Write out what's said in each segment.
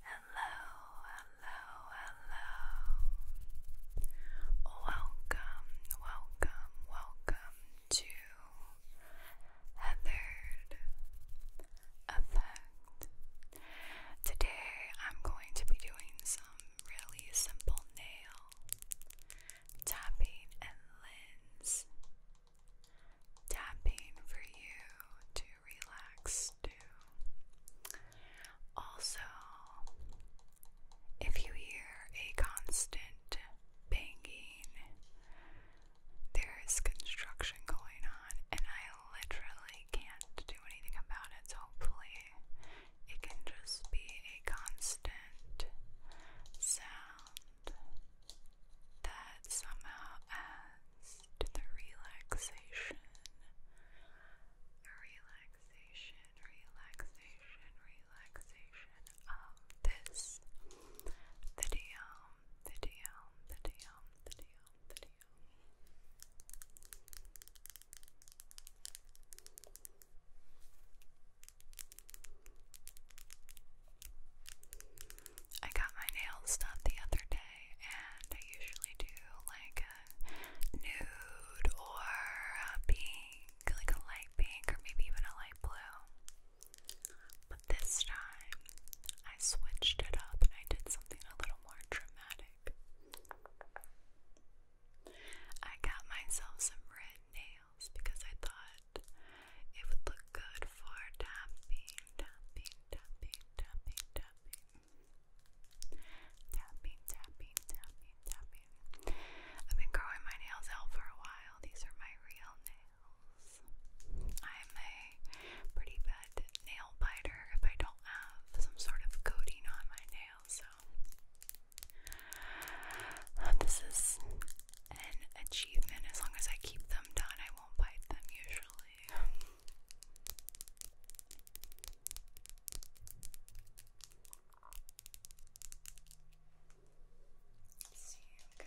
Hello, hello, hello. Welcome, welcome, welcome to Heathered Effect. Today I'm going to be doing some really simple nail tapping and lens tapping for you to relax to. Also, if you hear a constant banging, there is construction going on, and I literally can't do anything about it. So, hopefully, it can just be a constant sound that somehow adds to the relaxation. Relaxation, relaxation, relaxation of this video, video, video, video, video. I got my nails done the other day, and I usually do like a nude or a pink, like a light pink, or maybe even a light blue. But this time, I switched it up and I did something a little more dramatic. I got myself some red nails because I thought it would look good for tapping, tapping, tapping, tapping, tapping, tapping, tapping, tapping, I've been growing my nails out for a while. These are my real nails. I'm a pretty bad nail biter if I don't have some sort of coating on my nails, so this is an achievement as long as I keep them done. I will won't bite them usually. see, okay.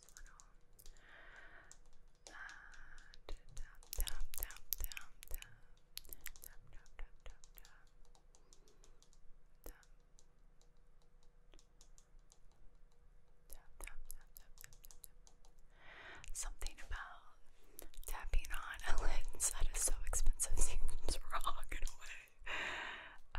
Something about tapping on a lens that is so expensive seems wrong in a way. Uh,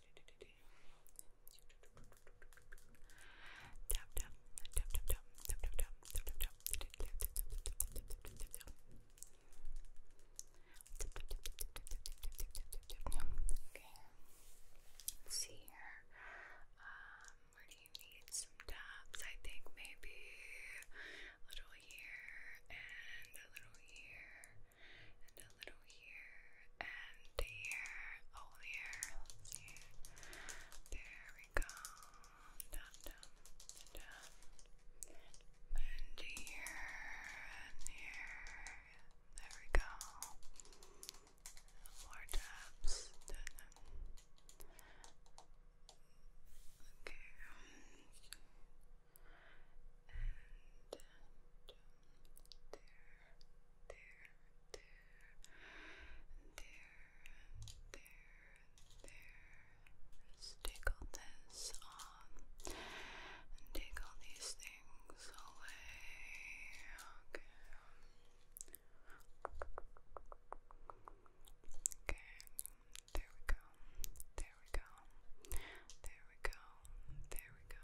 Tap tap tap tap tap tap tap tap tap tap tap. Okay. Let's see here. Um, where do you need some taps? I think maybe a little here and a little here and a little here, and here, all oh, here, there we go, dum dum, dum, and here, and here, there we go, more taps, okay, and, and there, there, and there, there, there. Just tickle this on take all these things away. Okay. Okay, there we go. There we go. There we go. There we go.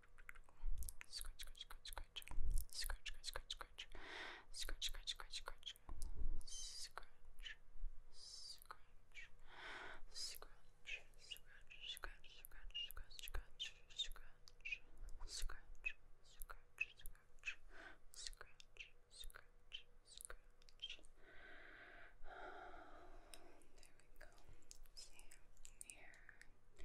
Scratch, scratch, scratch, scratch. Scratch, scratch, scratch, scratch. Scratch, scratch, scratch, scratch. Scratch, scratch. Scratch, scratch, scratch, scratch, scratch, scratch, scratch. Scratch, scratch, scratch. Scratch, scratch, scratch. There we go. See here.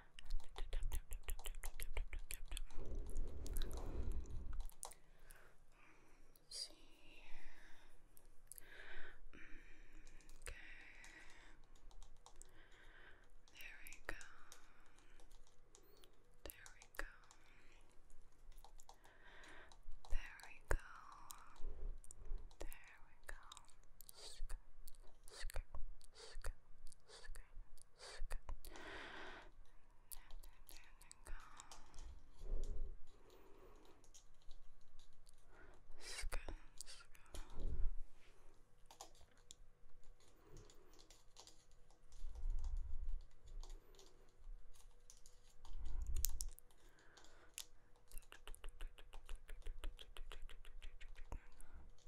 see okay there we go there we go there we go there there we go. Skirt, skirt, skirt, skirt, skirt. There, there, there we go. Skirt, skirt. There we go.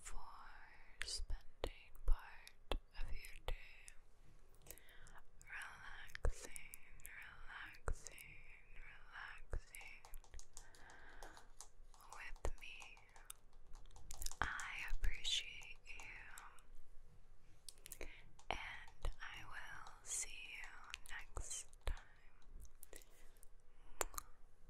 for spending part of your day relaxing, relaxing, relaxing with me. I appreciate you, and I will see you next time.